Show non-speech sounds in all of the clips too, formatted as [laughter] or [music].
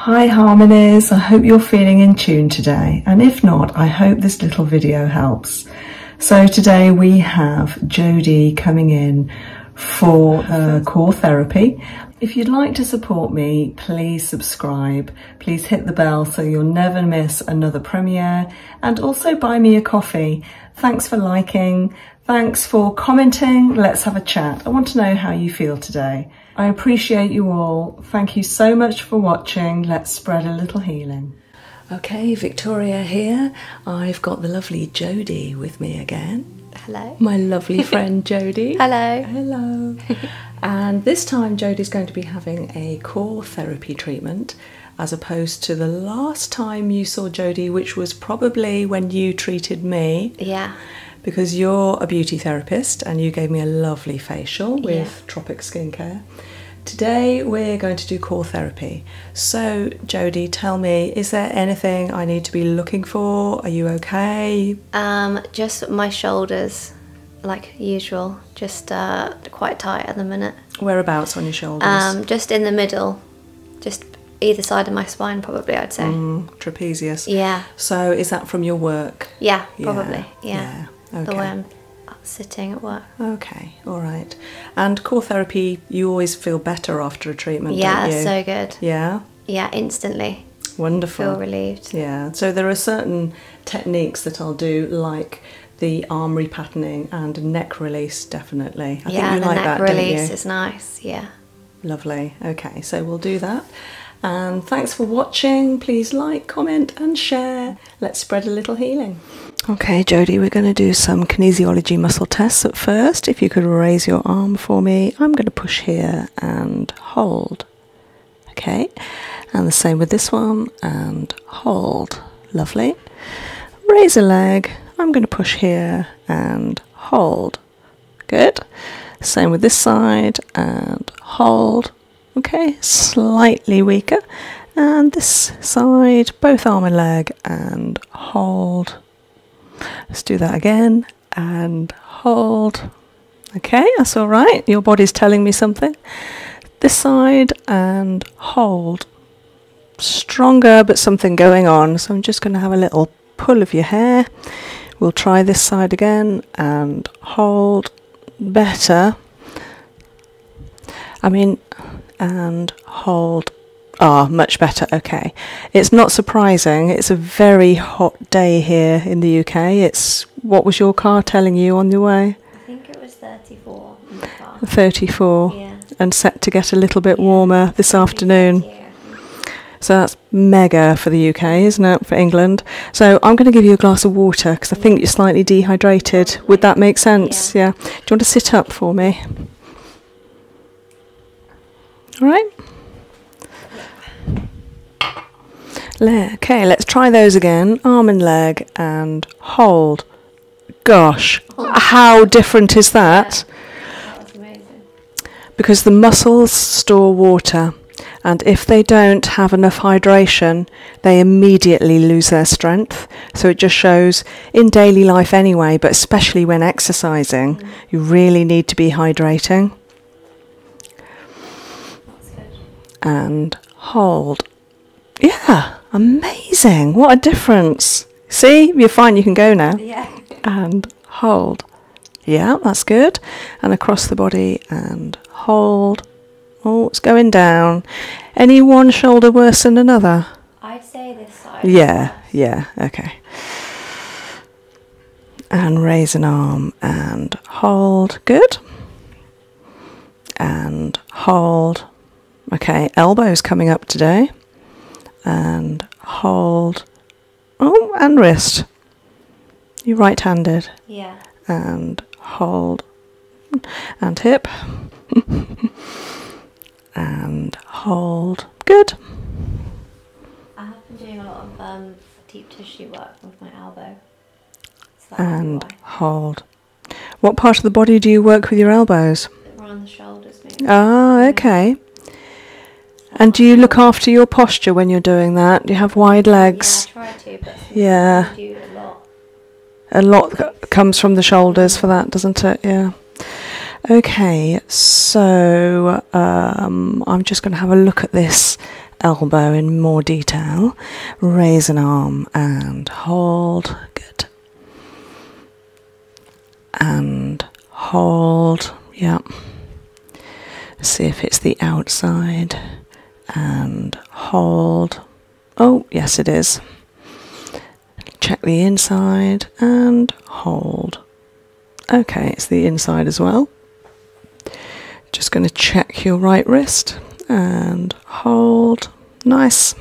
Hi Harmonies, I hope you're feeling in tune today and if not, I hope this little video helps. So today we have Jodie coming in for her uh, core therapy. If you'd like to support me, please subscribe, please hit the bell so you'll never miss another premiere and also buy me a coffee. Thanks for liking, thanks for commenting, let's have a chat. I want to know how you feel today. I appreciate you all. Thank you so much for watching. Let's spread a little healing. Okay, Victoria here. I've got the lovely Jody with me again. Hello. My lovely [laughs] friend Jody. Hello. Hello. [laughs] and this time Jodie's going to be having a core therapy treatment as opposed to the last time you saw Jody, which was probably when you treated me. Yeah because you're a beauty therapist and you gave me a lovely facial with yeah. Tropic Skincare. Today we're going to do core therapy. So, Jody, tell me, is there anything I need to be looking for? Are you okay? Um, just my shoulders, like usual, just uh, quite tight at the minute. Whereabouts on your shoulders? Um, just in the middle, just either side of my spine, probably. I'd say. Mm trapezius. Yeah. So is that from your work? Yeah, probably. Yeah. The one sitting at work. Okay, all right. And core therapy, you always feel better after a treatment, yeah, so good. Yeah. Yeah, instantly. Wonderful. Feel relieved. Yeah. So there are certain techniques that I'll do, like the arm repatterning and neck release, definitely. I yeah, think you the like neck that, release is nice. Yeah. Lovely. Okay, so we'll do that. And thanks for watching. Please like, comment, and share. Let's spread a little healing. Okay, Jody, we're going to do some kinesiology muscle tests at first. If you could raise your arm for me, I'm going to push here and hold. Okay, and the same with this one and hold. Lovely. Raise a leg. I'm going to push here and hold. Good. Same with this side and hold. Okay, slightly weaker. And this side, both arm and leg and hold. Let's do that again and hold. Okay, that's all right. Your body's telling me something. This side and hold. Stronger, but something going on. So I'm just going to have a little pull of your hair. We'll try this side again and hold better. I mean, and hold. Ah, much better. Okay. It's not surprising. It's a very hot day here in the UK. It's what was your car telling you on your way? I think it was 34. 34. And set to get a little bit warmer this afternoon. So that's mega for the UK, isn't it? For England. So I'm going to give you a glass of water because I think you're slightly dehydrated. Would that make sense? Yeah. Do you want to sit up for me? All right. Okay, let's try those again. Arm and leg and hold. Gosh, how different is that? Yeah. that because the muscles store water, and if they don't have enough hydration, they immediately lose their strength. So it just shows in daily life anyway, but especially when exercising, you really need to be hydrating. And hold. Yeah, amazing. What a difference. See, you're fine, you can go now. Yeah. And hold. Yeah, that's good. And across the body and hold. Oh, it's going down. Any one shoulder worse than another? I'd say this side. Yeah, yeah, okay. And raise an arm and hold. Good. And hold. Okay, elbows coming up today. And hold Oh, and wrist. You're right handed. Yeah. And hold. And hip. [laughs] and hold. Good. I have been doing a lot of um, deep tissue work with my elbow. and hold. What part of the body do you work with your elbows? Around the shoulders, maybe. Ah, okay. And do you look after your posture when you're doing that? Do you have wide legs? Yeah, I try to, but yeah. a lot. A lot comes from the shoulders for that, doesn't it? Yeah. Okay, so um, I'm just going to have a look at this elbow in more detail. Raise an arm and hold. Good. And hold. Yeah see if it's the outside and hold oh yes it is check the inside and hold okay it's the inside as well just going to check your right wrist and hold nice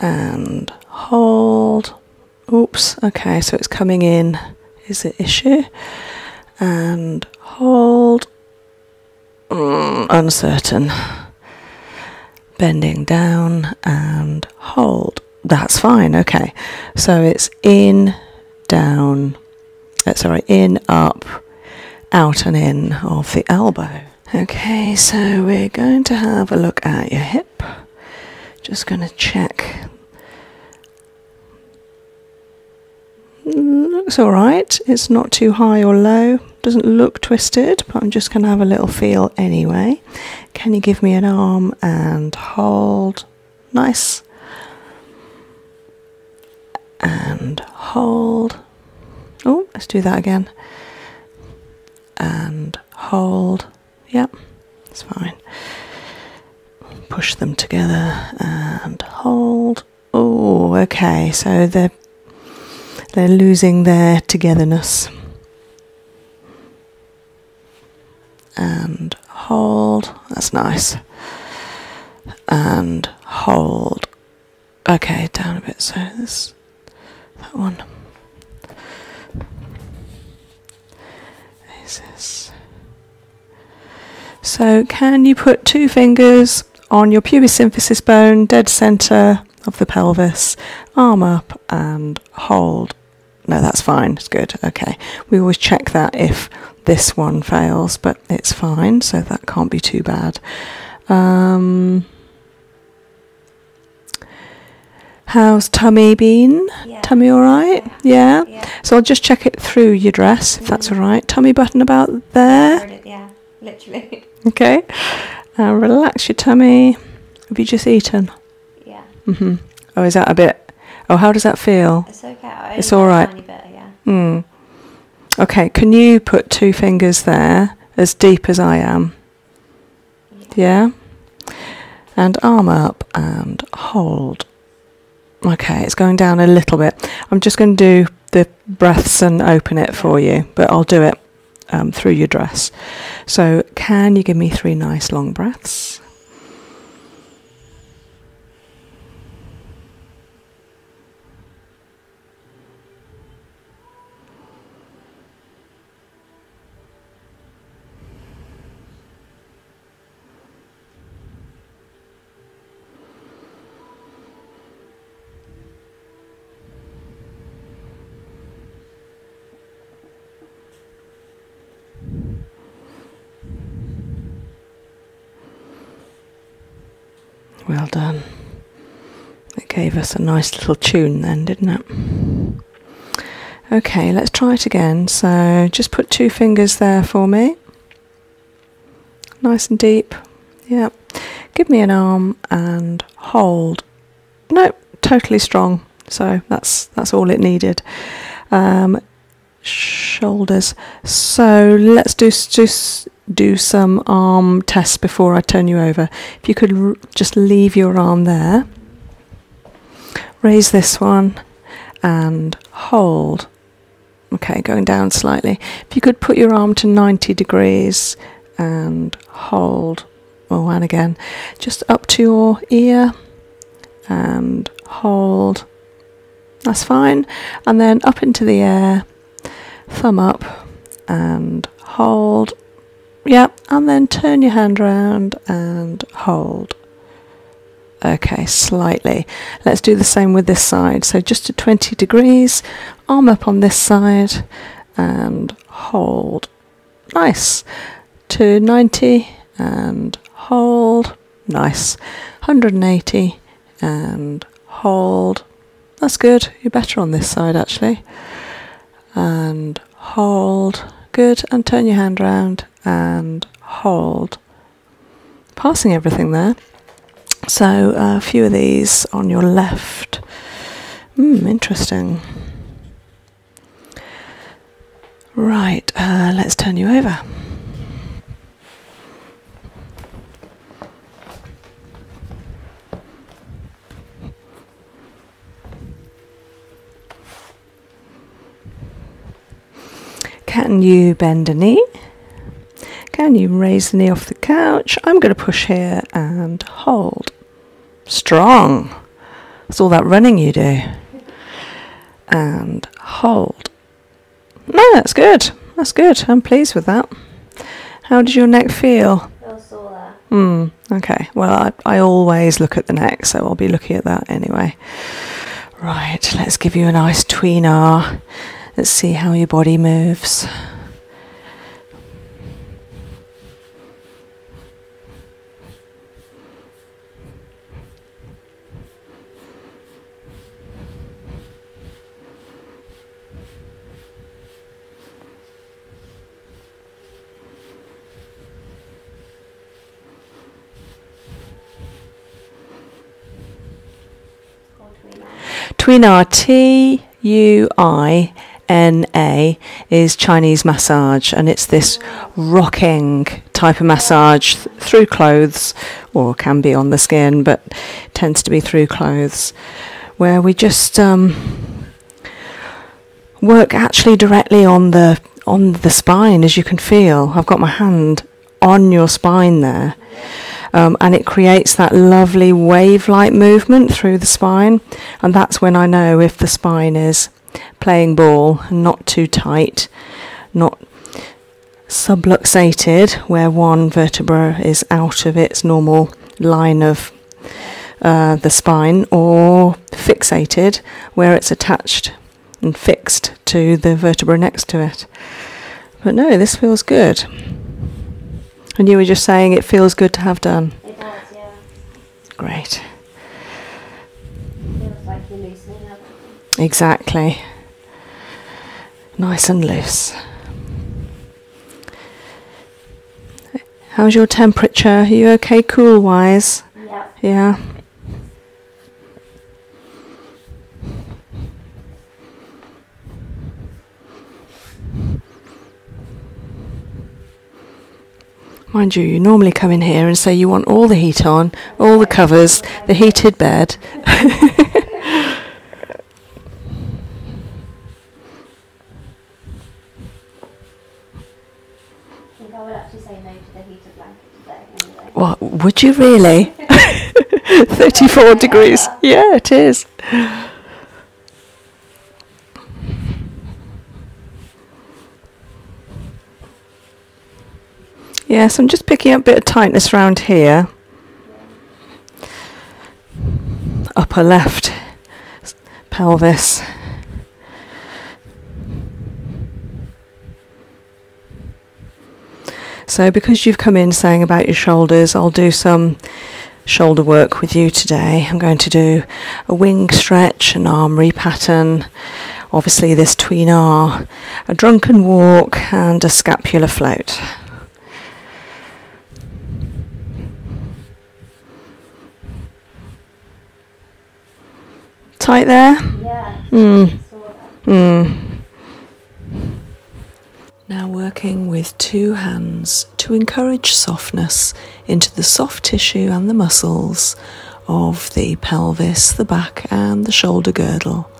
and hold oops okay so it's coming in is the issue and hold mm, uncertain bending down and hold that's fine okay so it's in down uh, sorry in up out and in of the elbow okay so we're going to have a look at your hip just going to check Mm, looks alright, it's not too high or low, doesn't look twisted, but I'm just going to have a little feel anyway. Can you give me an arm and hold? Nice. And hold. Oh, let's do that again. And hold. Yep, it's fine. Push them together and hold. Oh, okay. So they're they're losing their togetherness. And hold. That's nice. And hold. Okay, down a bit. So this that one. So can you put two fingers on your pubis symphysis bone, dead centre of the pelvis, arm up and hold. No, that's fine, it's good, okay. We always check that if this one fails, but it's fine, so that can't be too bad. Um, how's tummy been? Yeah. Tummy all right? Yeah. So I'll just check it through your dress, if that's mm. all right. Tummy button about there. Yeah, literally. [laughs] Okay. Uh, relax your tummy. Have you just eaten? Yeah. Mm-hmm. Oh, is that a bit? Oh, how does that feel? It's okay. It's all right. Bit, yeah. Mm. Okay. Can you put two fingers there, as deep as I am? yeah? And arm up and hold Okay, it's going down a little bit. I'm just going to do the breaths and open it for you, but I'll do it um, through your dress. So, can you give me three nice long breaths? Well done. It gave us a nice little tune then, didn't it? Okay, let's try it again. So just put two fingers there for me. Nice and deep. Yeah. Give me an arm and hold. Nope, totally strong. So that's that's all it needed. Um, shoulders. So let's do just do some arm tests before I turn you over. If you could just leave your arm there raise this one and hold. Okay, going down slightly. If you could put your arm to 90 degrees and hold. Oh, and again, just up to your ear and hold. That's fine. And then up into the air, thumb up and hold. Yep, and then turn your hand around and hold okay slightly let's do the same with this side so just to 20 degrees arm up on this side and hold nice to 90 and hold nice 180 and hold that's good you're better on this side actually and hold good and turn your hand round and hold passing everything there. So uh, a few of these on your left. Mm, interesting. Right, uh, let's turn you over. Can you bend a knee? Can you raise the knee off the couch? I'm going to push here and hold. Strong. It's all that running you do. And hold. No, that's good. That's good. I'm pleased with that. How did your neck feel? Hmm. Okay. Well, I, I always look at the neck, so I'll be looking at that anyway. Right, let's give you a nice tweener. Let's see how your body moves. Twin R T U I N A is Chinese massage, and it's this rocking type of massage through clothes, or can be on the skin, but tends to be through clothes, where we just um, work actually directly on the on the spine, as you can feel. I've got my hand on your spine there. Um, and it creates that lovely wave like movement through the spine. And that's when I know if the spine is playing ball, not too tight, not subluxated, where one vertebra is out of its normal line of uh, the spine, or fixated, where it's attached and fixed to the vertebra next to it. But no, this feels good. And you were just saying it feels good to have done. It does, yeah. Great. Feels like you're loosening up. Exactly. Nice and loose. How's your temperature? Are you okay cool wise? Yeah. Yeah. Mind you, you normally come in here and say you want all the heat on, all the covers, the heated bed. [laughs] I think actually say no to the heater blanket today. Anyway. What would you really? [laughs] 34 degrees. Yeah, it is. Yes, I'm just picking up a bit of tightness around here. Upper left pelvis. So because you've come in saying about your shoulders, I'll do some shoulder work with you today. I'm going to do a wing stretch, an arm repattern, obviously this tween a drunken walk and a scapular float. Tight there? Yeah. Mm. Mm. Now working with two hands to encourage softness into the soft tissue and the muscles of the pelvis, the back, and the shoulder girdle.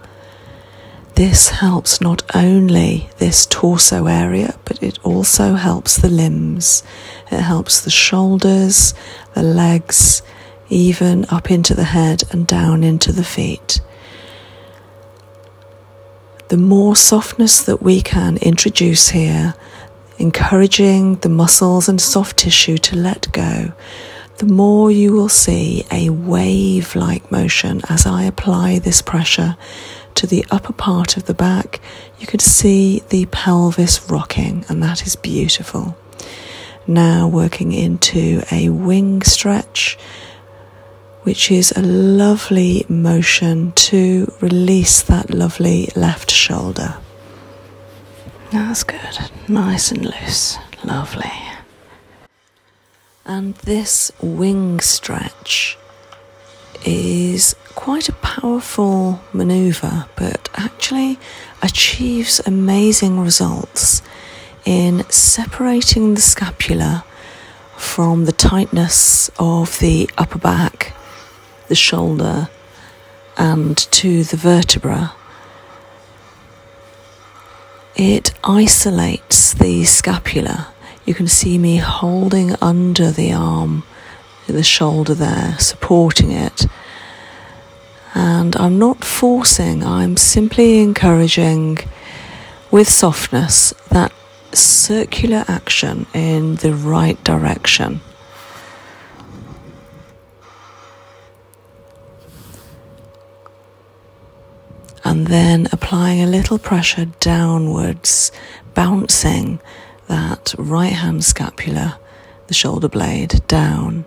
This helps not only this torso area, but it also helps the limbs. It helps the shoulders the legs, even up into the head and down into the feet. The more softness that we can introduce here, encouraging the muscles and soft tissue to let go, the more you will see a wave like motion as I apply this pressure to the upper part of the back. You could see the pelvis rocking, and that is beautiful. Now working into a wing stretch, which is a lovely motion to release that lovely left shoulder. That's good, nice and loose, lovely. And this wing stretch is quite a powerful maneuver, but actually achieves amazing results in separating the scapula from the tightness of the upper back, the shoulder, and to the vertebra. It isolates the scapula. You can see me holding under the arm, the shoulder there, supporting it and I'm not forcing, I'm simply encouraging with softness that circular action in the right direction. and then applying a little pressure downwards, bouncing that right hand scapula, the shoulder blade down,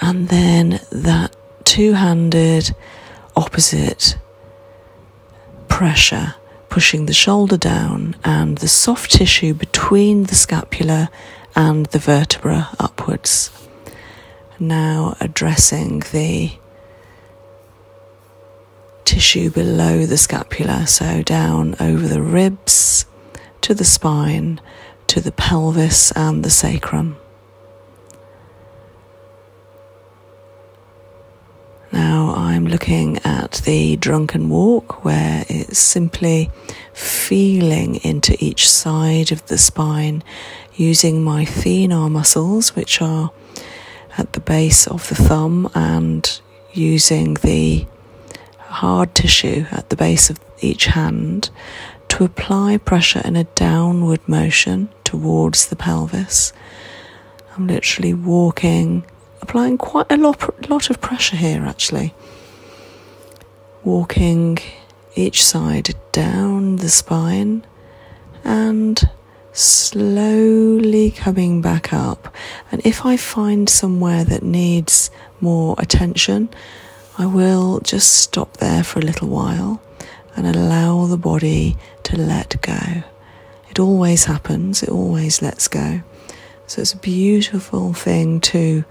and then that two handed opposite pressure, pushing the shoulder down and the soft tissue between the scapula and the vertebra upwards. Now addressing the tissue below the scapula, so down over the ribs to the spine to the pelvis and the sacrum. Now I'm looking at the drunken walk where it's simply feeling into each side of the spine using my thenar muscles, which are at the base of the thumb, and using the hard tissue at the base of each hand to apply pressure in a downward motion towards the pelvis. I'm literally walking, applying quite a lot, lot of pressure here actually. Walking each side down the spine and slowly coming back up. And if I find somewhere that needs more attention, I will just stop there for a little while and allow the body to let go. It always happens, it always lets go. So it's a beautiful thing to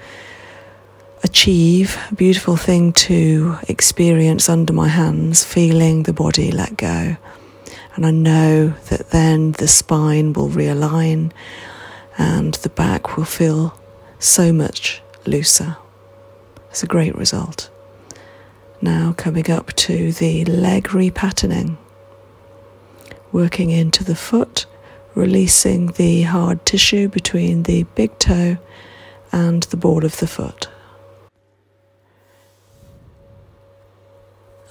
achieve, a beautiful thing to experience under my hands, feeling the body let go. And I know that then the spine will realign and the back will feel so much looser. It's a great result. Now coming up to the leg repatterning, working into the foot, releasing the hard tissue between the big toe and the ball of the foot.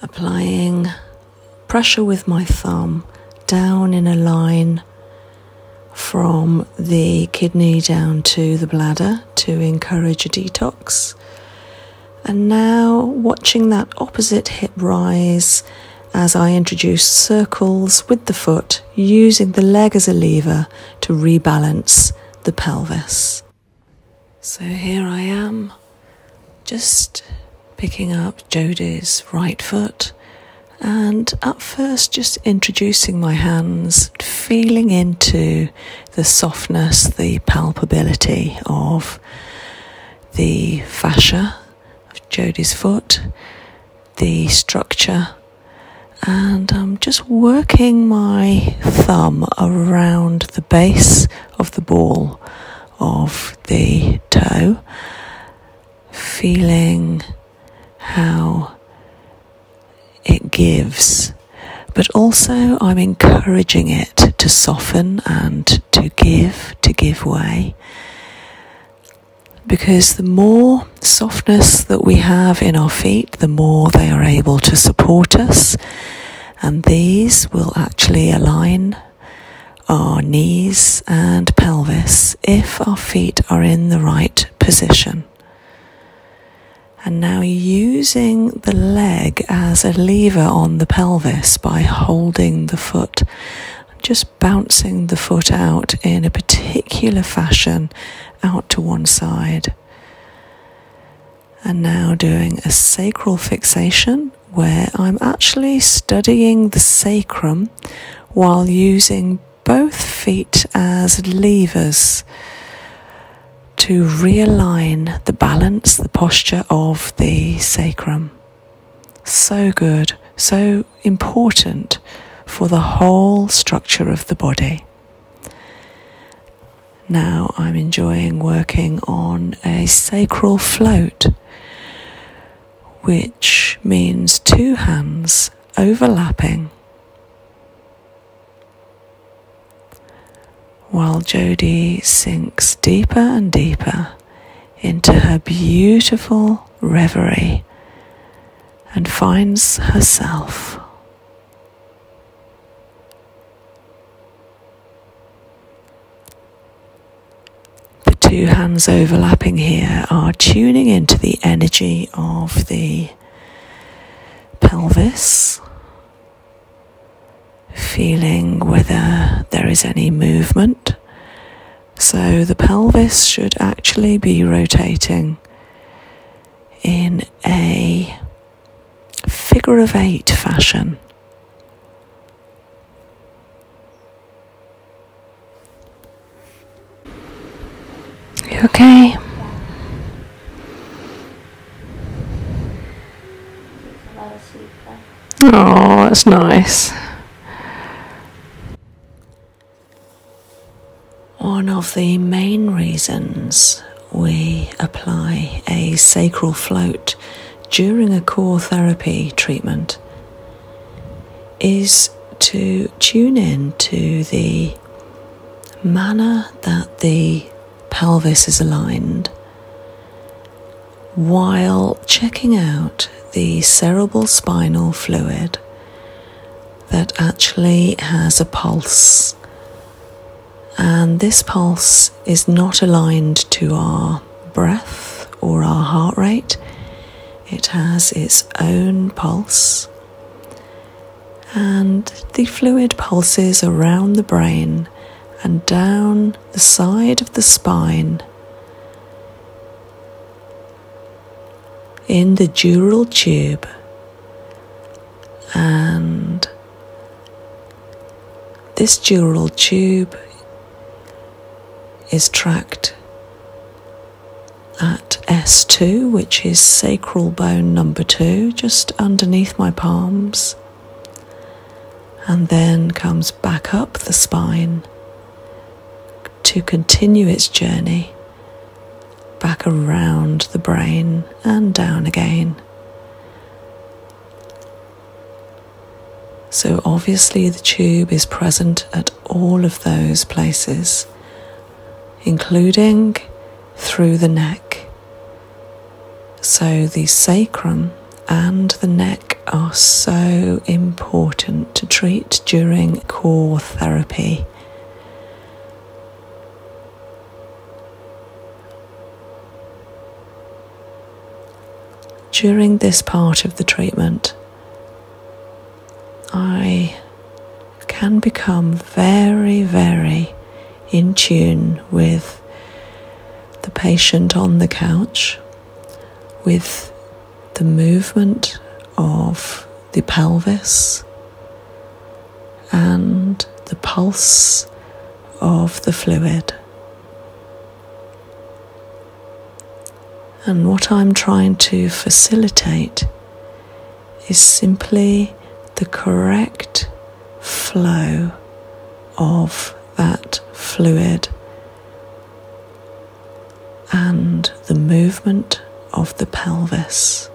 Applying pressure with my thumb down in a line from the kidney down to the bladder to encourage a detox. And now watching that opposite hip rise as I introduce circles with the foot, using the leg as a lever to rebalance the pelvis. So here I am, just picking up Jodie's right foot and at first just introducing my hands, feeling into the softness, the palpability of the fascia of Jodie's foot, the structure, and I'm just working my thumb around the base of the ball of the toe feeling how it gives, but also I'm encouraging it to soften and to give, to give way. Because the more softness that we have in our feet, the more they are able to support us, and these will actually align our knees and pelvis if our feet are in the right position. And now using the leg as a lever on the pelvis by holding the foot, just bouncing the foot out in a particular fashion out to one side. And now doing a sacral fixation where I'm actually studying the sacrum, while using both feet as levers to realign the balance, the posture of the sacrum. So good, so important for the whole structure of the body. Now I'm enjoying working on a sacral float, which means two hands overlapping. While Jodie sinks deeper and deeper into her beautiful reverie and finds herself the two hands overlapping here are tuning into the energy of the pelvis, feeling whether there is any movement. So the pelvis should actually be rotating in a figure of eight fashion. You okay? Oh, that's nice. One of the main reasons we apply a sacral float during a core therapy treatment is to tune in to the manner that the pelvis is aligned while checking out the cerebral spinal fluid that actually has a pulse. And this pulse is not aligned to our breath or our heart rate, it has its own pulse, and the fluid pulses around the brain and down the side of the spine. in the dural tube and this dural tube is tracked at S2, which is sacral bone number two, just underneath my palms, and then comes back up the spine to continue its journey back around the brain and down again. So, obviously, the tube is present at all of those places, including through the neck. So the sacrum and the neck are so important to treat during core therapy. During this part of the treatment, I can become very, very in tune with the patient on the couch, with the movement of the pelvis and the pulse of the fluid. And what I'm trying to facilitate is simply the correct flow of that fluid and the movement of the pelvis.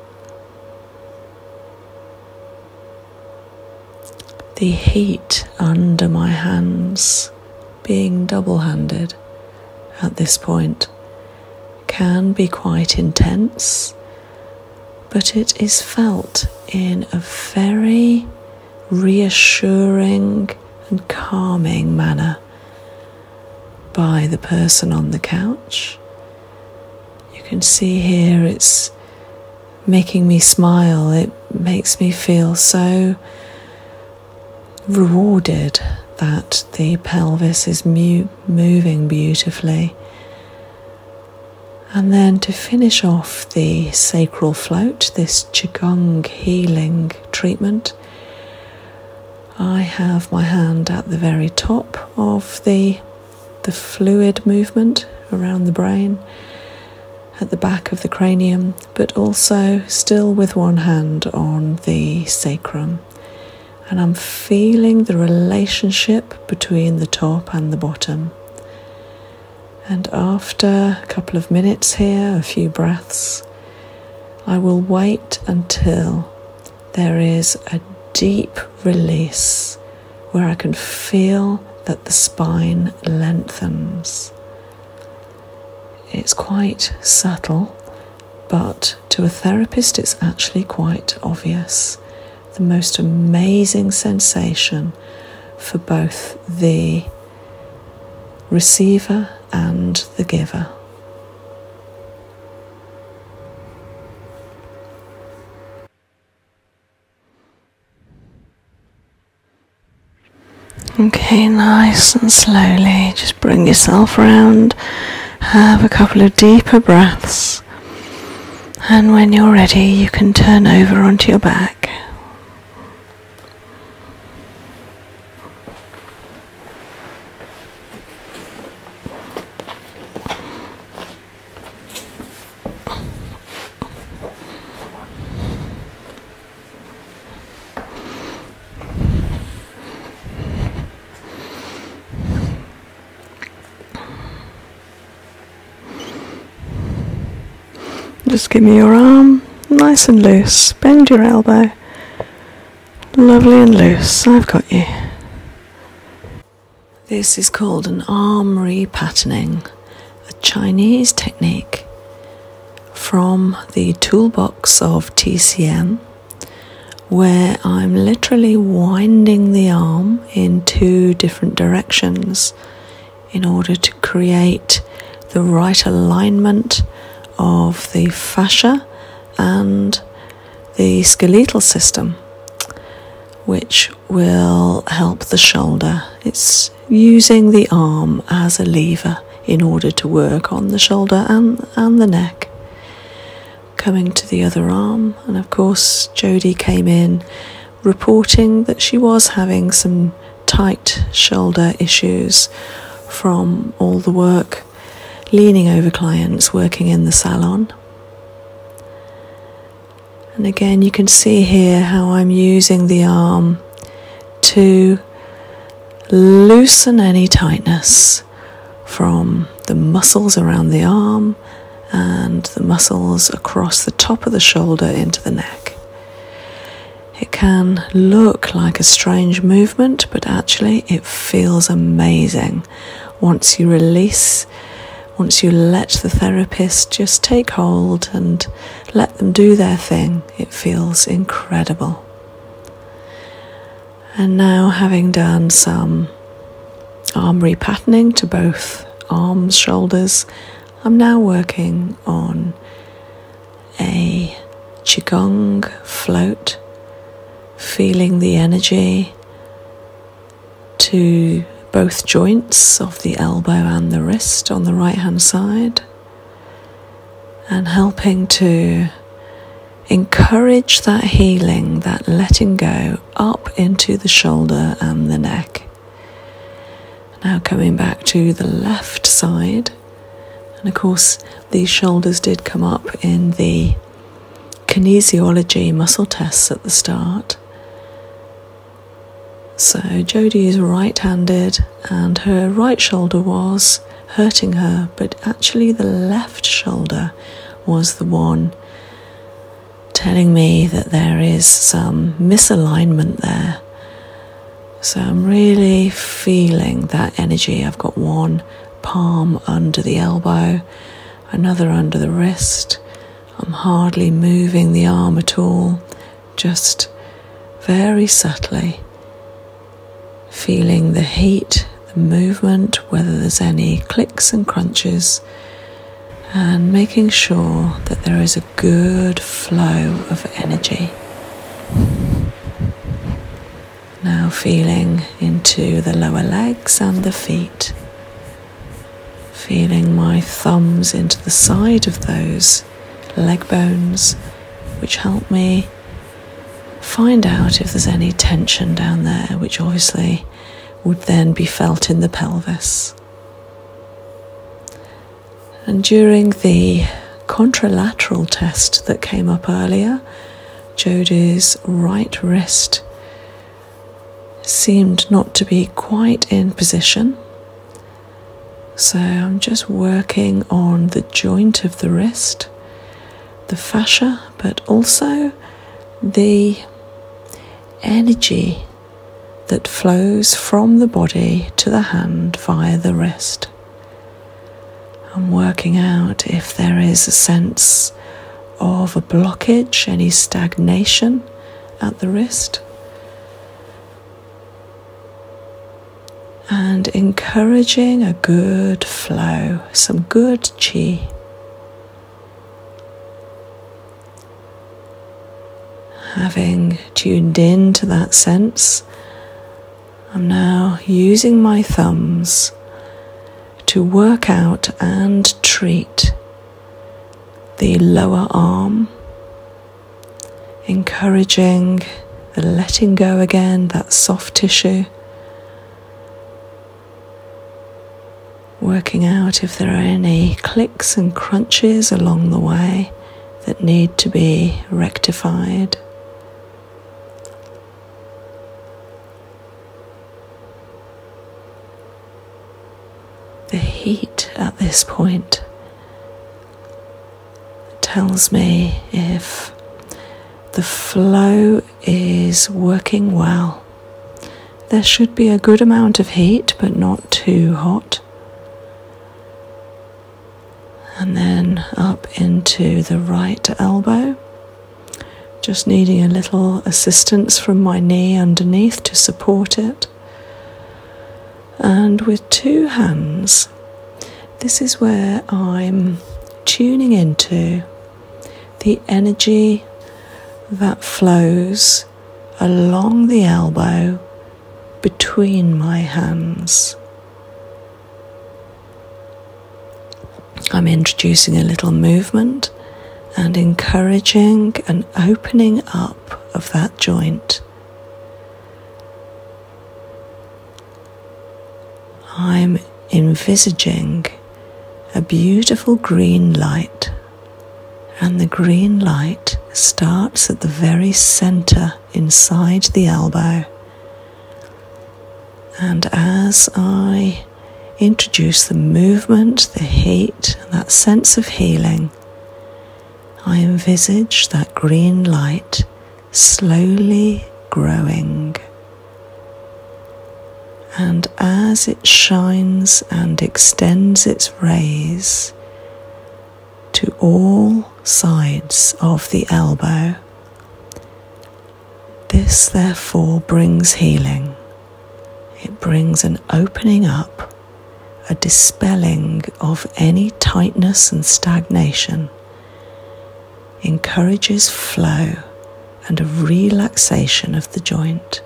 The heat under my hands being double handed at this point can be quite intense, but it is felt in a very reassuring and calming manner by the person on the couch. You can see here it's making me smile, it makes me feel so rewarded that the pelvis is moving beautifully. And then to finish off the sacral float, this Qigong healing treatment, I have my hand at the very top of the, the fluid movement around the brain, at the back of the cranium, but also still with one hand on the sacrum. And I'm feeling the relationship between the top and the bottom. And after a couple of minutes here, a few breaths, I will wait until there is a deep release where I can feel that the spine lengthens. It's quite subtle but to a therapist, it's actually quite obvious. The most amazing sensation for both the receiver and the giver. Okay, nice and slowly, just bring yourself round. Have a couple of deeper breaths, and when you're ready, you can turn over onto your back. Just give me your arm, nice and loose. Bend your elbow, lovely and loose. I've got you. This is called an arm repatterning, a Chinese technique from the toolbox of TCM where I'm literally winding the arm in two different directions in order to create the right alignment of the fascia and the skeletal system, which will help the shoulder. It's using the arm as a lever in order to work on the shoulder and and the neck. Coming to the other arm, and of course, Jodie came in reporting that she was having some tight shoulder issues from all the work leaning over clients working in the salon. And again, you can see here how I'm using the arm to loosen any tightness from the muscles around the arm and the muscles across the top of the shoulder into the neck. It can look like a strange movement, but actually, it feels amazing once you release, once you let the therapist just take hold and let them do their thing. It feels incredible. And now, having done some arm repatterning to both arms, shoulders, I'm now working on a Qigong float, feeling the energy to both joints of the elbow and the wrist on the right hand side and helping to encourage that healing, that letting go up into the shoulder and the neck. Now coming back to the left side. And of course, these shoulders did come up in the kinesiology muscle tests at the start. So Jodie is right handed, and her right shoulder was hurting her, but actually the left shoulder was the one telling me that there is some misalignment there. So I'm really feeling that energy. I've got one palm under the elbow, another under the wrist. I'm hardly moving the arm at all, just very subtly feeling the heat, the movement, whether there's any clicks and crunches, and making sure that there is a good flow of energy. Now feeling into the lower legs and the feet. Feeling my thumbs into the side of those leg bones, which help me Find out if there's any tension down there, which obviously would then be felt in the pelvis. And during the contralateral test that came up earlier, Jodie's right wrist seemed not to be quite in position. So I'm just working on the joint of the wrist the fascia, but also the energy that flows from the body to the hand via the wrist. I'm working out if there is a sense of a blockage, any stagnation at the wrist and encouraging a good flow, some good chi. Having tuned in to that sense, I'm now using my thumbs to work out and treat the lower arm, encouraging and letting go again that soft tissue. Working out if there are any clicks and crunches along the way that need to be rectified. The heat at this point tells me if the flow is working well. There should be a good amount of heat, but not too hot. And then up into the right elbow. Just needing a little assistance from my knee underneath to support it. And with two hands, this is where I'm tuning into the energy that flows along the elbow between my hands. I'm introducing a little movement and encouraging an opening up of that joint. I'm envisaging a beautiful green light, and the green light starts at the very center inside the elbow. And as I introduce the movement, the heat, that sense of healing, I envisage that green light slowly growing. And as it shines and extends its rays to all sides of the elbow, this therefore brings healing. It brings an opening up, a dispelling of any tightness and stagnation encourages flow and a relaxation of the joint.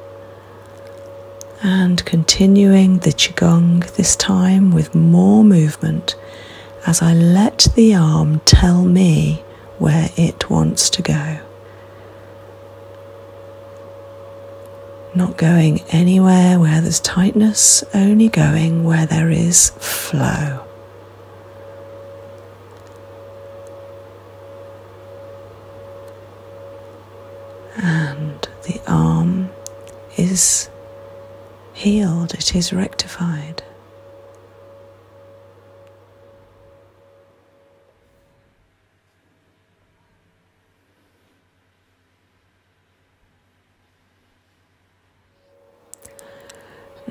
And continuing the Qigong this time with more movement as I let the arm tell me where it wants to go. Not going anywhere where there's tightness, only going where there is flow. And the arm is healed, it is rectified.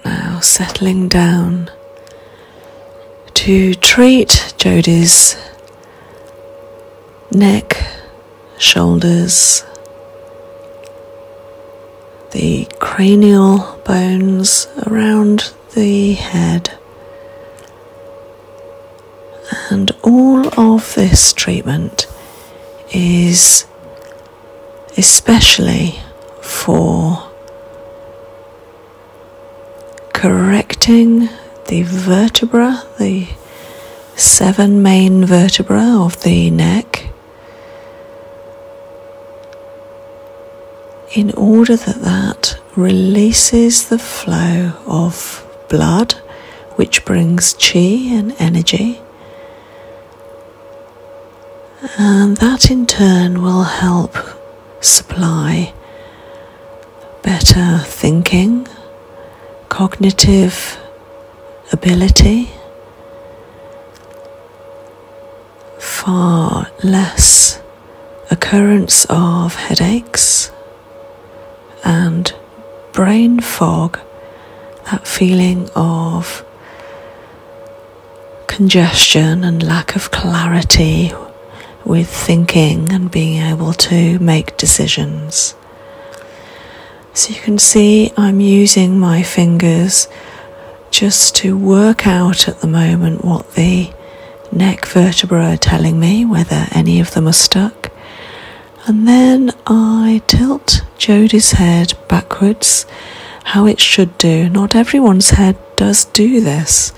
Now settling down to treat Jodie's neck, shoulders, the cranial bones around the head. And all of this treatment is especially for correcting the vertebra, the seven main vertebra of the neck, in order that that releases the flow of blood, which brings chi and energy and that in turn will help supply better thinking, cognitive ability, far less occurrence of headaches and brain fog, that feeling of congestion and lack of clarity with thinking and being able to make decisions. So you can see I'm using my fingers just to work out at the moment what the neck vertebrae are telling me, whether any of them are stuck. And then I tilt Jody's head backwards how it should do. Not everyone's head does do this,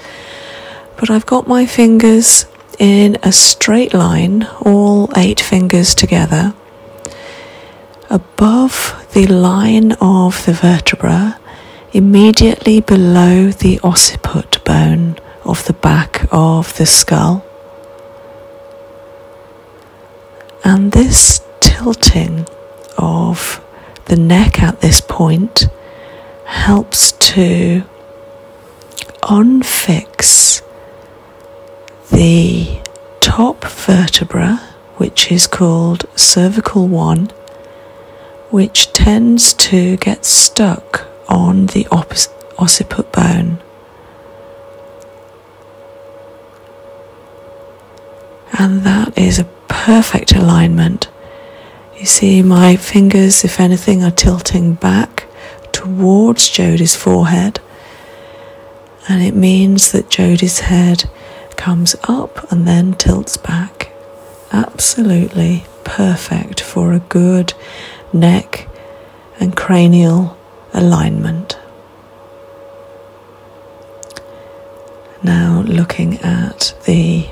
but I've got my fingers in a straight line, all eight fingers together, above the line of the vertebra, immediately below the occiput bone of the back of the skull. And this tilting of the neck at this point helps to unfix the top vertebra, which is called cervical 1, which tends to get stuck on the occiput bone. And that is a perfect alignment. You see, my fingers, if anything, are tilting back towards Jodie's forehead, and it means that Jodie's head comes up and then tilts back. Absolutely perfect for a good neck and cranial alignment. Now, looking at the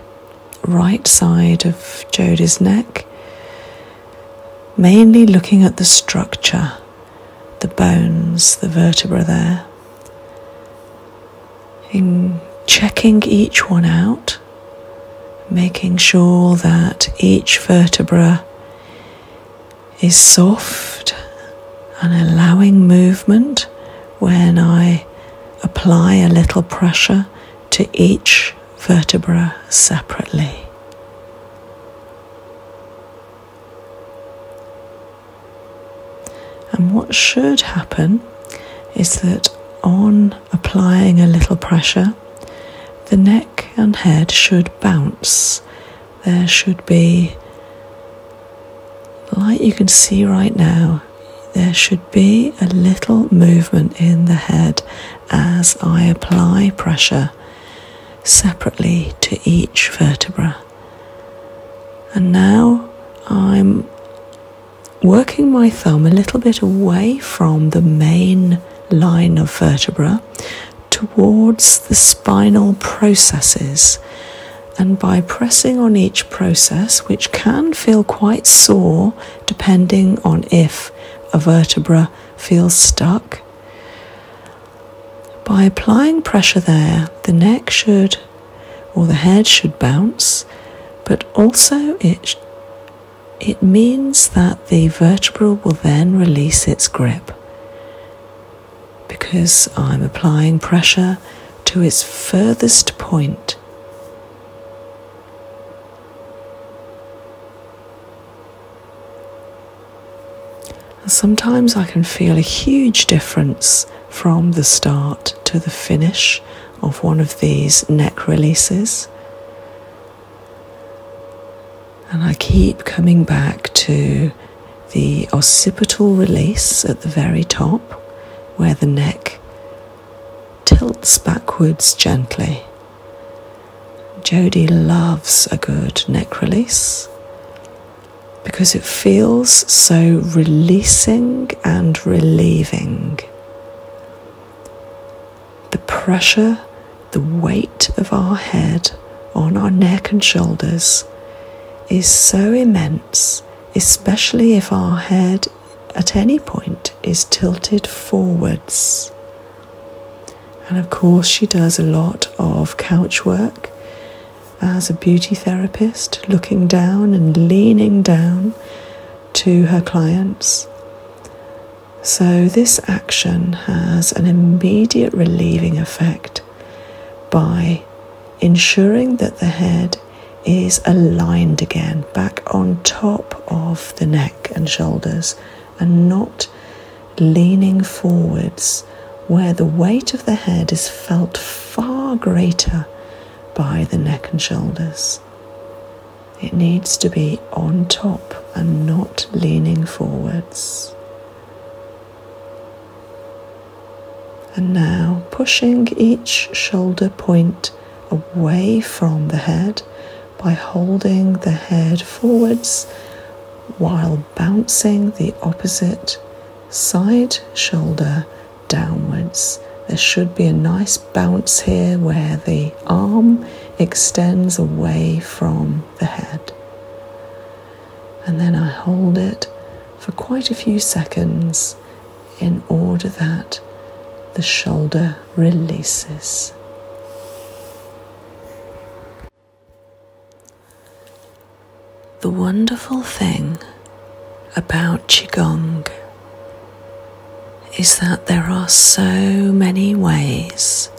right side of Jodie's neck, mainly looking at the structure, the bones, the vertebra there, in checking each one out, making sure that each vertebra is soft and allowing movement when I apply a little pressure to each vertebra separately. And what should happen is that on applying a little pressure, the neck and head should bounce there should be, like you can see right now, there should be a little movement in the head as I apply pressure separately to each vertebra. And now I'm working my thumb a little bit away from the main line of vertebra towards the spinal processes and by pressing on each process, which can feel quite sore depending on if a vertebra feels stuck, by applying pressure there, the neck should or the head should bounce, but also it, it means that the vertebra will then release its grip because I'm applying pressure to its furthest point. sometimes I can feel a huge difference from the start to the finish of one of these neck releases. And I keep coming back to the occipital release at the very top, where the neck tilts backwards gently. Jody loves a good neck release because it feels so releasing and relieving. The pressure, the weight of our head on our neck and shoulders is so immense, especially if our head at any point is tilted forwards. And of course, she does a lot of couch work as a beauty therapist, looking down and leaning down to her clients. So, this action has an immediate relieving effect by ensuring that the head is aligned again, back on top of the neck and shoulders, and not leaning forwards where the weight of the head is felt far greater by the neck and shoulders. It needs to be on top and not leaning forwards. And now pushing each shoulder point away from the head by holding the head forwards while bouncing the opposite side shoulder downwards. There should be a nice bounce here where the arm extends away from the head and then I hold it for quite a few seconds in order that the shoulder releases. The wonderful thing about Qigong is that there are so many ways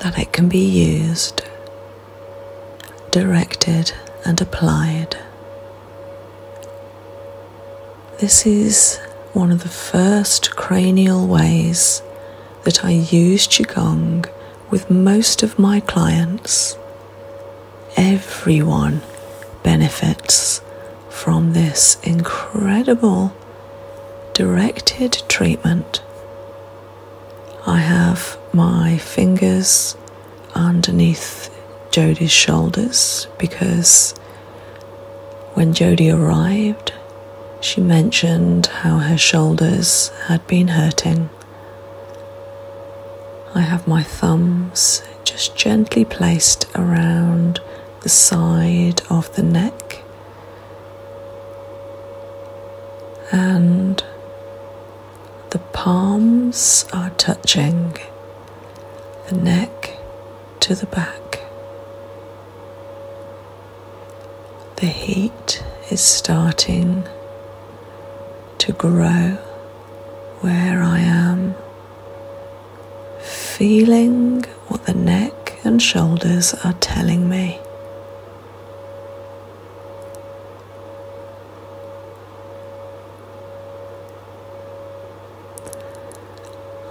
that it can be used directed and applied. This is one of the first cranial ways that I use Qigong with most of my clients. Everyone benefits from this incredible directed treatment I have my fingers underneath Jody's shoulders because when Jody arrived, she mentioned how her shoulders had been hurting. I have my thumbs just gently placed around the side of the neck and the palms are touching the neck to the back. The heat is starting to grow where I am, feeling what the neck and shoulders are telling me.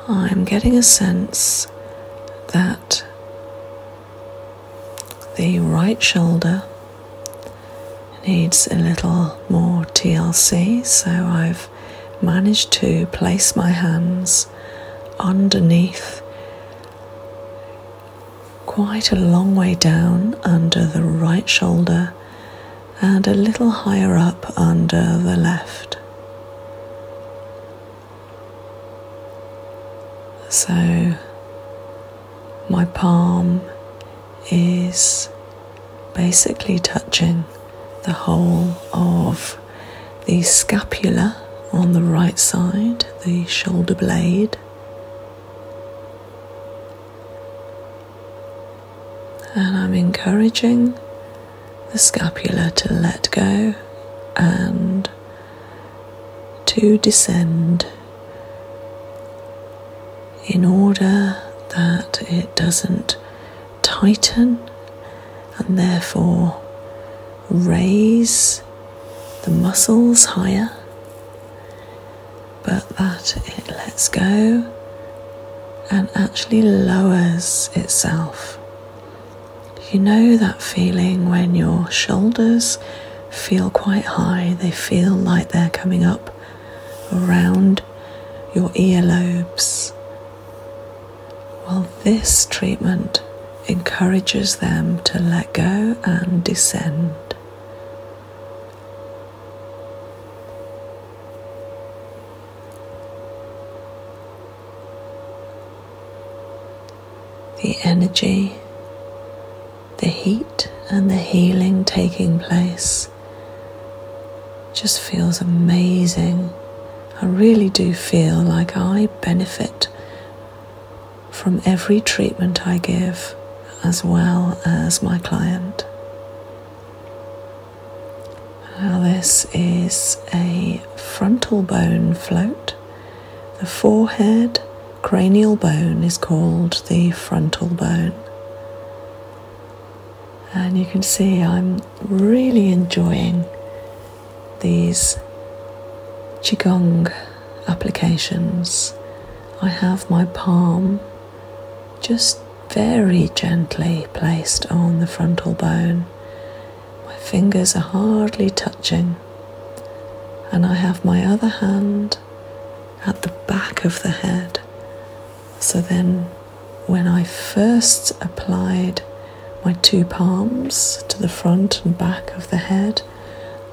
I'm getting a sense that the right shoulder needs a little more TLC, so I've managed to place my hands underneath quite a long way down under the right shoulder and a little higher up under the left. So my palm is basically touching the whole of the scapula on the right side, the shoulder blade, and I'm encouraging the scapula to let go and to descend in order that it doesn't tighten and therefore raise the muscles higher but that it lets go and actually lowers itself. You know that feeling when your shoulders feel quite high, they feel like they're coming up around your earlobes. Well, this treatment encourages them to let go and descend the energy, the heat, and the healing taking place just feels amazing. I really do feel like I benefit from every treatment I give, as well as my client. Now, this is a frontal bone float. The forehead cranial bone is called the frontal bone. And you can see I'm really enjoying these Qigong applications I have my palm just very gently placed on the frontal bone. My fingers are hardly touching, and I have my other hand at the back of the head. So then, when I first applied my two palms to the front and back of the head,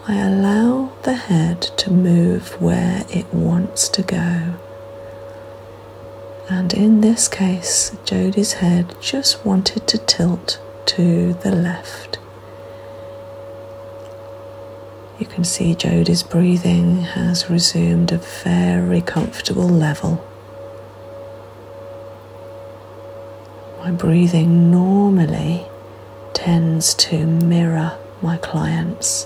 I allow the head to move where it wants to go. And in this case, Jodie's head just wanted to tilt to the left. You can see Jodie's breathing has resumed a very comfortable level. My breathing normally tends to mirror my clients.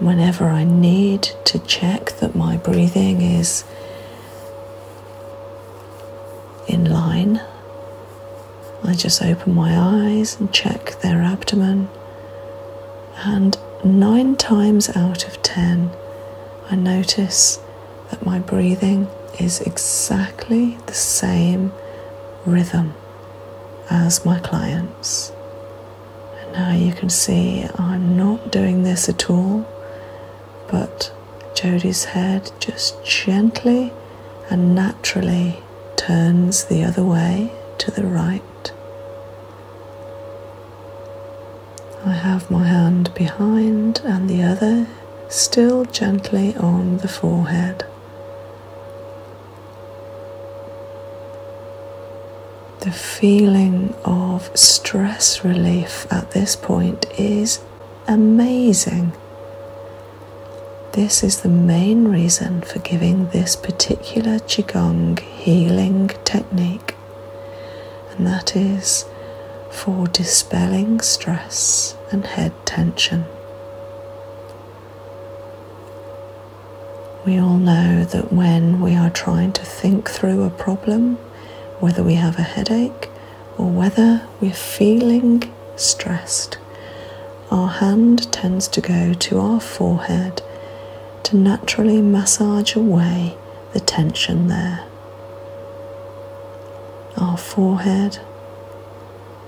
Whenever I need to check that my breathing is in line, I just open my eyes and check their abdomen. And nine times out of ten, I notice that my breathing is exactly the same rhythm as my clients. And now you can see I'm not doing this at all, but Jody's head just gently and naturally turns the other way to the right. I have my hand behind and the other still gently on the forehead. The feeling of stress relief at this point is amazing. This is the main reason for giving this particular Qigong healing technique, and that is for dispelling stress and head tension. We all know that when we are trying to think through a problem, whether we have a headache or whether we're feeling stressed, our hand tends to go to our forehead to naturally massage away the tension there. Our forehead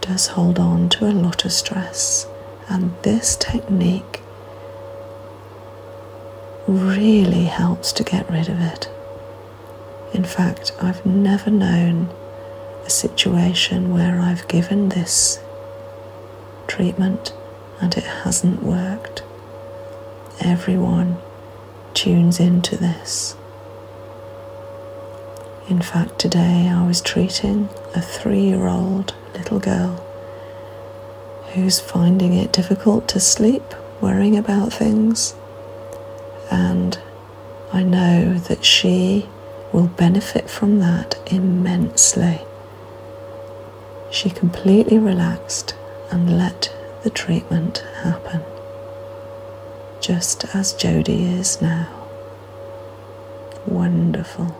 does hold on to a lot of stress, and this technique really helps to get rid of it. In fact, I've never known a situation where I've given this treatment and it hasn't worked. Everyone tunes into this. In fact, today I was treating a three year old little girl who's finding it difficult to sleep, worrying about things, and I know that she will benefit from that immensely. She completely relaxed and let the treatment happen, just as Jodie is now. Wonderful.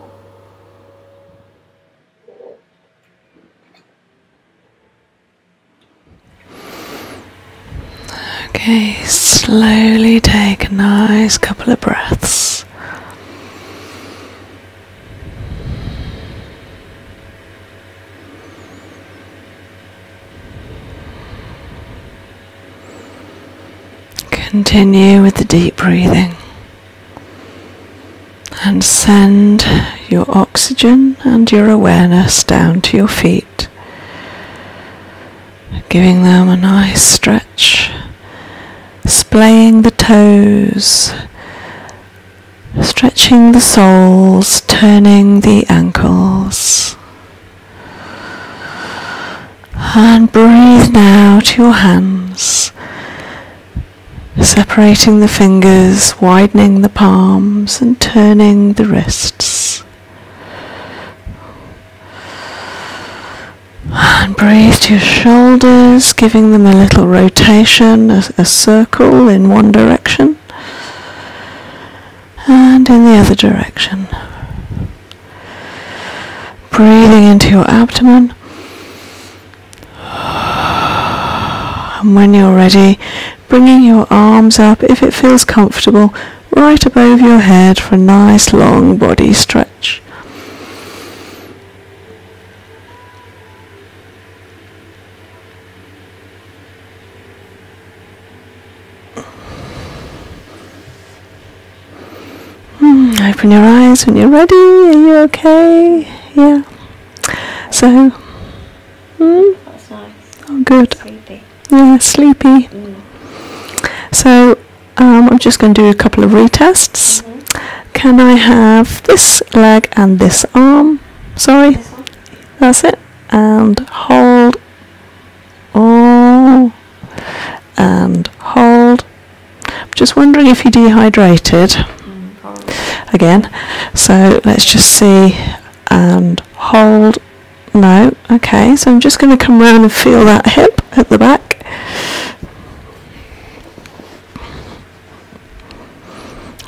Okay, slowly take a nice couple of breaths. Continue with the deep breathing and send your oxygen and your awareness down to your feet, giving them a nice stretch, splaying the toes, stretching the soles, turning the ankles. And breathe now to your hands, separating the fingers, widening the palms, and turning the wrists. And breathe to your shoulders, giving them a little rotation, a, circle in one direction and in the other direction. Breathing into your abdomen. And when you're ready, bringing your arms up, if it feels comfortable, right above your head for a nice long body stretch. Hmm, open your eyes when you're ready. Are you okay? Yeah. So. Hmm? That's nice. Oh, good. Yeah, sleepy. Mm. So, um, I'm just going to do a couple of retests. Mm-hmm. Can I have this leg and this arm? Sorry. That's it. And hold Oh, and hold. Just wondering if you dehydrated. Again. So let's just see and hold. No. Okay. So I'm just going to come round and feel that hip at the back.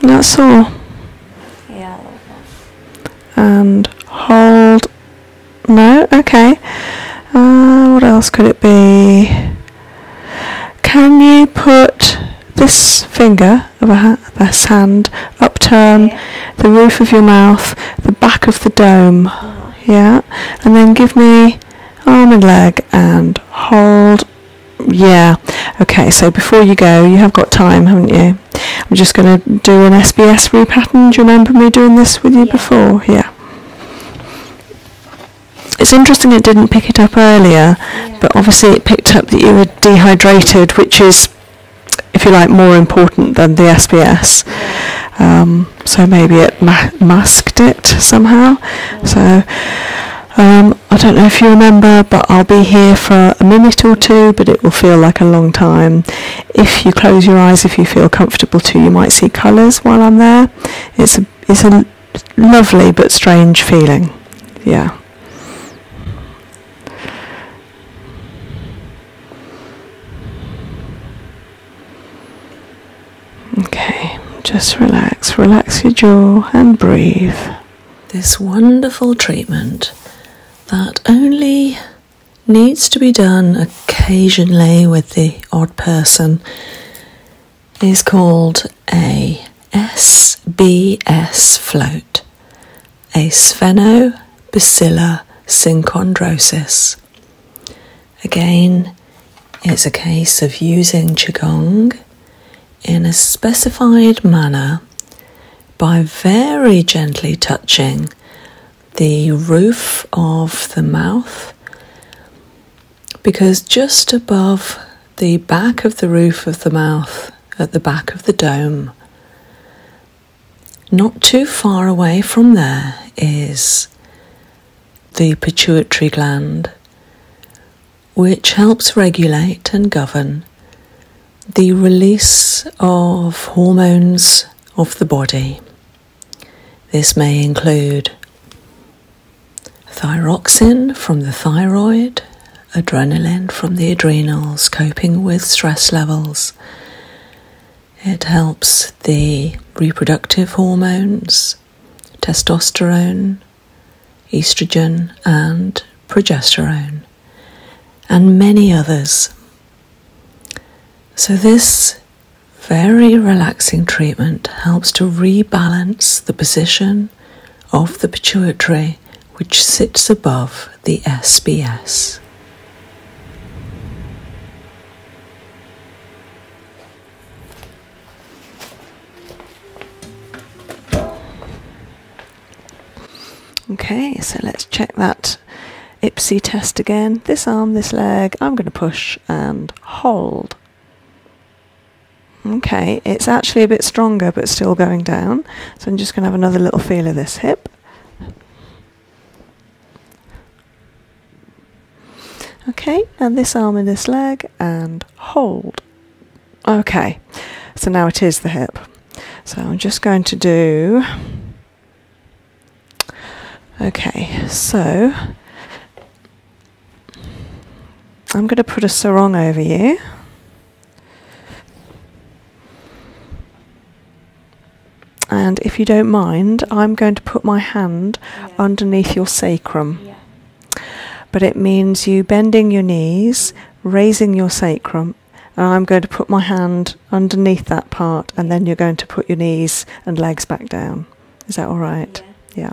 That's all. Yeah. And hold no? Okay. Uh, what else could it be? Can you put this finger of a hand upturn yeah. the roof of your mouth, the back of the dome? Yeah? And then give me arm and leg and hold. Yeah. Okay, so before you go, you have got time, haven't you? I'm just going to do an SBS repattern. Do you remember me doing this with you before? Yeah. It's interesting it didn't pick it up earlier, but obviously it picked up that you were dehydrated, which is, if you like, more important than the SBS. Um, so maybe it masked it somehow. So. Um, I don't know if you remember, but I'll be here for a minute or two, but it will feel like a long time. If you close your eyes, if you feel comfortable to, you might see colours while I'm there. It's a, it's a lovely but strange feeling. Yeah. Okay, just relax, relax your jaw and breathe. This wonderful treatment that only needs to be done occasionally with the odd person is called a SBS float, a Sphenobacilla synchondrosis. Again, it's a case of using Qigong in a specified manner by very gently touching the roof of the mouth because just above the back of the roof of the mouth, at the back of the dome, not too far away from there is the pituitary gland, which helps regulate and govern the release of hormones of the body. This may include thyroxin from the thyroid, adrenaline from the adrenals, coping with stress levels. It helps the reproductive hormones, testosterone, estrogen, and progesterone, and many others. So, this very relaxing treatment helps to rebalance the position of the pituitary which sits above the SBS. Okay, so let's check that Ipsy test again. This arm, this leg, I'm going to push and hold. Okay, it's actually a bit stronger but still going down. So I'm just going to have another little feel of this hip. Okay, and this arm and this leg and hold. Okay, so now it is the hip. So I'm just going to do Okay, so I'm going to put a sarong over you. And if you don't mind, I'm going to put my hand underneath your sacrum. But it means you bending your knees, raising your sacrum, and I'm going to put my hand underneath that part, and then you're going to put your knees and legs back down. Is that all right? Yeah.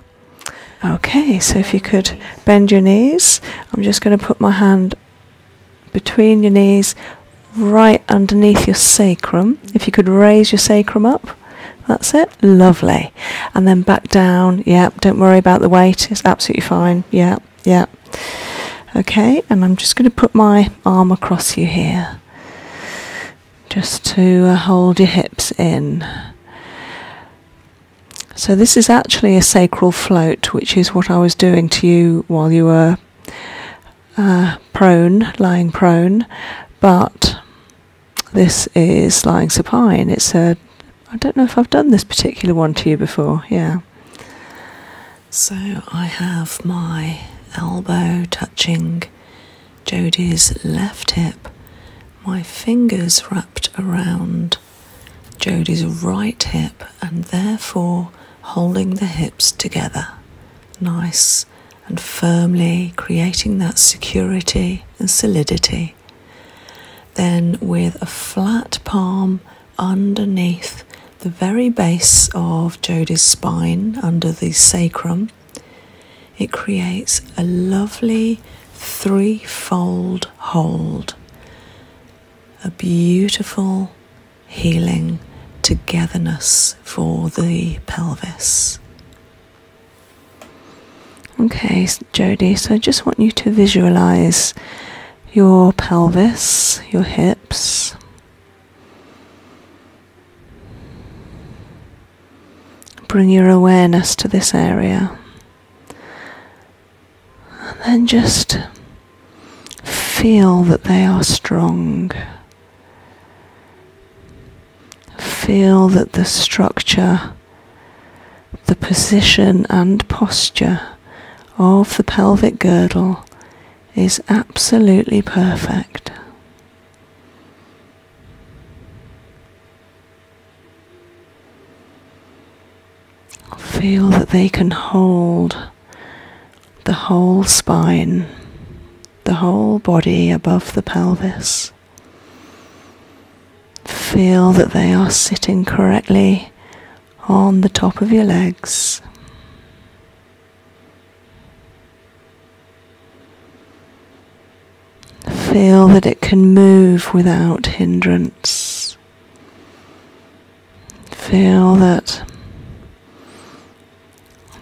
yeah. Okay, so if you could bend your knees, I'm just going to put my hand between your knees, right underneath your sacrum. If you could raise your sacrum up, that's it. Lovely. And then back down. Yeah, don't worry about the weight, it's absolutely fine. Yeah, yeah. Okay, and I'm just going to put my arm across you here just to uh, hold your hips in. So, this is actually a sacral float, which is what I was doing to you while you were uh, prone, lying prone, but this is lying supine. It's a, I don't know if I've done this particular one to you before, yeah. So, I have my elbow touching Jodie's left hip, my fingers wrapped around Jodie's right hip and therefore holding the hips together. Nice and firmly creating that security and solidity. Then, with a flat palm underneath the very base of Jodie's spine, under the sacrum, it creates a lovely threefold hold, a beautiful healing togetherness for the pelvis. Okay, Jody, so I just want you to visualize your pelvis, your hips, Bring your awareness to this area. And then just feel that they are strong. Feel that the structure, the position and posture of the pelvic girdle is absolutely perfect. Feel that they can hold the whole spine, the whole body above the pelvis. Feel that they are sitting correctly on the top of your legs. Feel that it can move without hindrance. Feel that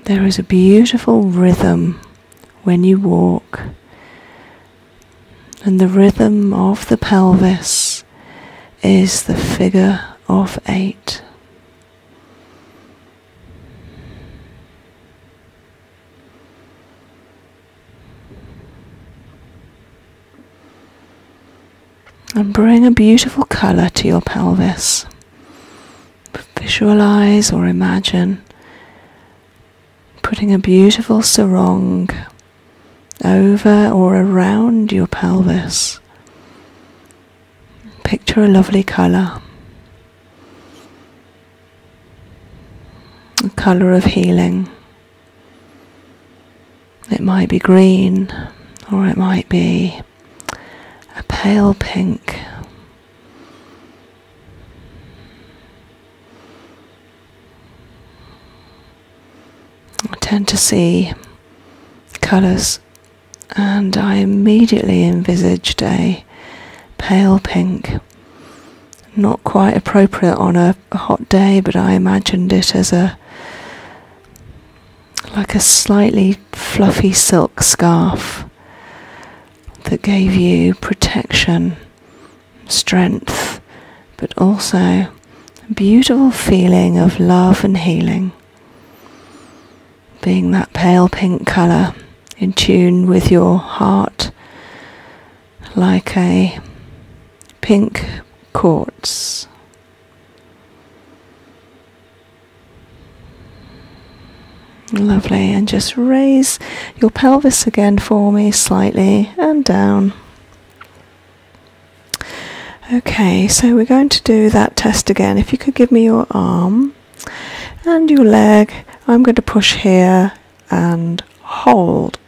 there is a beautiful rhythm when you walk, and the rhythm of the pelvis is the figure of eight. And bring a beautiful colour to your pelvis. Visualize or imagine putting a beautiful sarong over or around your pelvis Picture a lovely colour, a colour of healing. It might be green or it might be a pale pink. I tend to see colours and I immediately envisaged a pale pink. Not quite appropriate on a, hot day, but I imagined it as a like a slightly fluffy silk scarf that gave you protection, strength, but also a beautiful feeling of love and healing being that pale pink colour in tune with your heart, like a pink quartz. Lovely, and just raise your pelvis again for me slightly and down. Okay, so we're going to do that test again. If you could give me your arm and your leg. I'm going to push here and hold.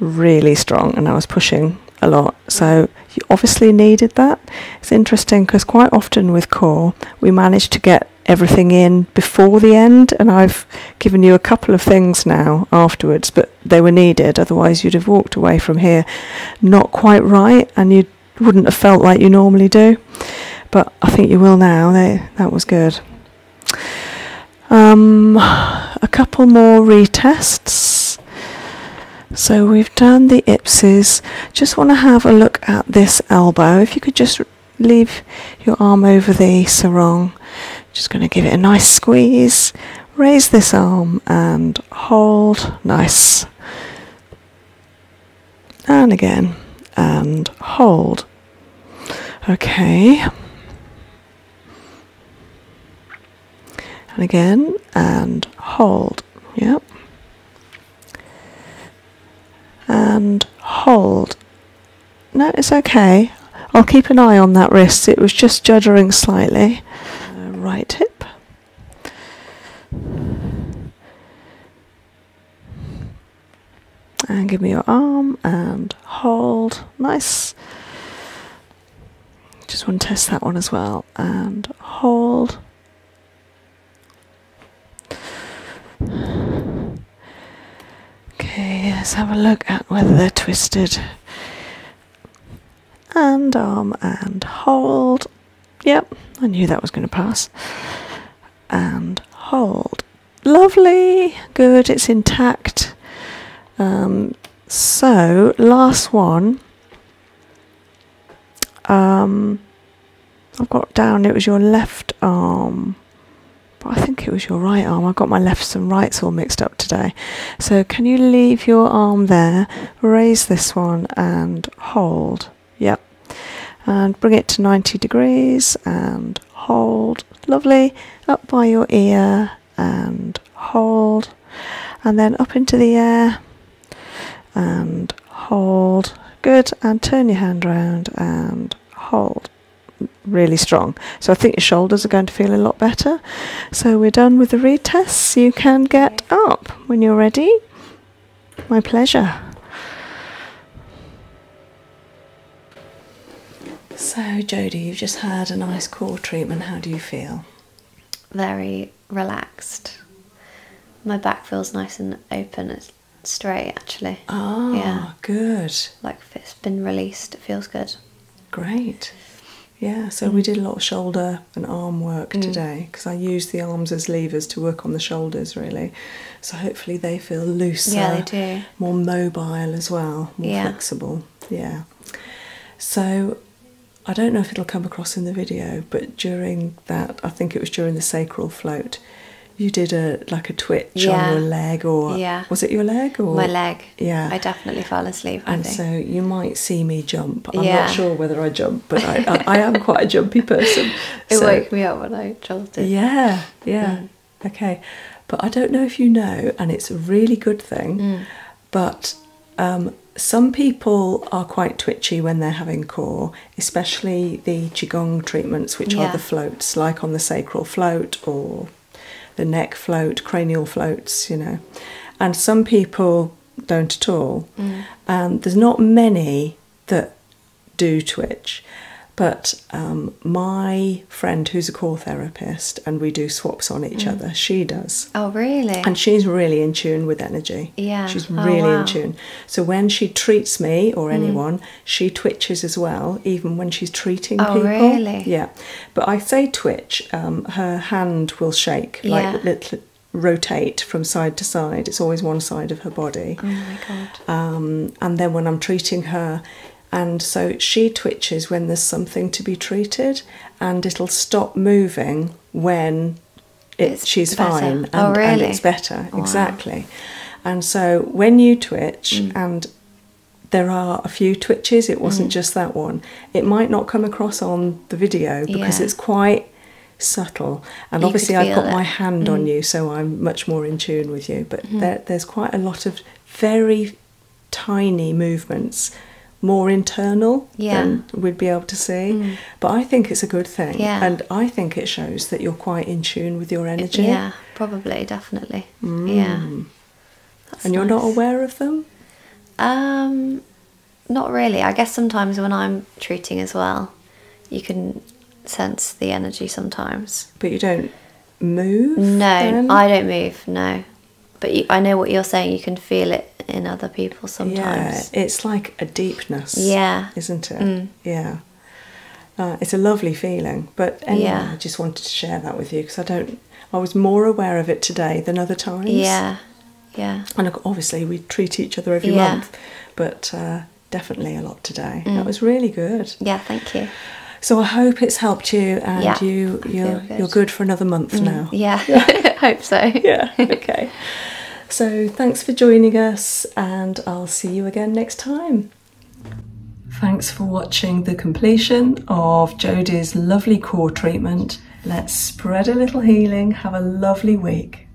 Really strong, and I was pushing a lot. So you obviously needed that. It's interesting because quite often with core, we manage to get everything in before the end, and I've given you a couple of things now afterwards, but they were needed. Otherwise, you'd have walked away from here not quite right, and you'd wouldn't have felt like you normally do, but I think you will now. that was good. Um, a couple more retests. So we've done the ipses. Just want to have a look at this elbow. If you could just leave your arm over the sarong. Just going to give it a nice squeeze. Raise this arm and hold. Nice and again and hold. Okay. And again and hold. Yep. And hold. No, it's okay. I'll keep an eye on that wrist. It was just juddering slightly. Uh, right hip. And give me your arm and hold. Nice. Just want to test that one as well. And hold. Okay, let's have a look at whether they're twisted. And arm and hold. Yep, I knew that was going to pass. And hold. Lovely! Good, it's intact. Um, so, last one. Um, I've got down, it was your left arm. But I think it was your right arm. I've got my lefts and rights all mixed up today. So can you leave your arm there, raise this one and hold. Yep. And bring it to 90 degrees and hold. Lovely. Up by your ear and hold. And then up into the air and hold. Good. And turn your hand around and hold really strong. So I think your shoulders are going to feel a lot better. So we're done with the retests. You can get up when you're ready. My pleasure. So, Jody, you've just had a nice core treatment. How do you feel? Very relaxed. My back feels nice and open. It's straight, actually. Ah, good. Like it's been released, it feels good. Great. Yeah, so we mm. did a lot of shoulder and arm work mm. today because I use the arms as levers to work on the shoulders really. So hopefully they feel looser, yeah, they do. more mobile as well, more flexible. Yeah. So I don't know if it'll come across in the video, but during that, I think it was during the sacral float, you did a like a twitch on your leg or yeah. was it your leg or my leg? Yeah, I definitely fell asleep. And so you might see me jump. I'm not sure whether I jump, but I am quite a jumpy person. [laughs] it woke me up when I jolted. Yeah, yeah. Mm. Okay. But I don't know if you know, and it's a really good thing, mm. but um, some people are quite twitchy when they're having core, especially the Qigong treatments, which are the floats, like on the sacral float or the neck float, cranial floats, you know. And some people don't at all. Mm. And there's not many that do Twitch. But um, my friend, who's a core therapist, and we do swaps on each mm. other, she does. Oh, really? And she's really in tune with energy. Yeah. She's oh, really in tune. So when she treats me or mm. anyone, she twitches as well, even when she's treating oh, people. Oh, really? Yeah. But I say twitch, um, her hand will shake, like yeah. little rotate from side to side. It's always one side of her body. Oh my god. Um, and then when I'm treating her, and so she twitches when there's something to be treated, and it'll stop moving when it, she's fine and, oh, it's better. Wow. Exactly. And so when you twitch mm. and there are a few twitches, it wasn't mm. just that one. It might not come across on the video because it's quite subtle. And obviously, I've got my hand on mm. you, so I'm much more in tune with you. But mm-hmm. there's quite a lot of very tiny movements, more internal than we'd be able to see. Mm. But I think it's a good thing. And I think it shows that you're quite in tune with your energy. yeah, probably, definitely. Mm. Yeah. and you're not aware of them? Um, not really. I guess sometimes when I'm treating as well, you can sense the energy sometimes. But you don't move? No, I don't move, no. But I know what you're saying, you can feel it in other people sometimes. Yeah, it's like a deepness. Yeah. Isn't it? Mm. Yeah. Uh, it's a lovely feeling, but yeah. I just wanted to share that with you because I don't. I was more aware of it today than other times. Yeah, yeah. And obviously, we treat each other every month, but uh, definitely a lot today. Mm. That was really good. Yeah, thank you. So I hope it's helped you, and you you're good. for another month mm, now. Yeah, yeah. [laughs] hope so. Yeah. Okay. so thanks for joining us, and I'll see you again next time. Thanks for watching the completion of Jodie's lovely core treatment. Let's spread a little healing. Have a lovely week.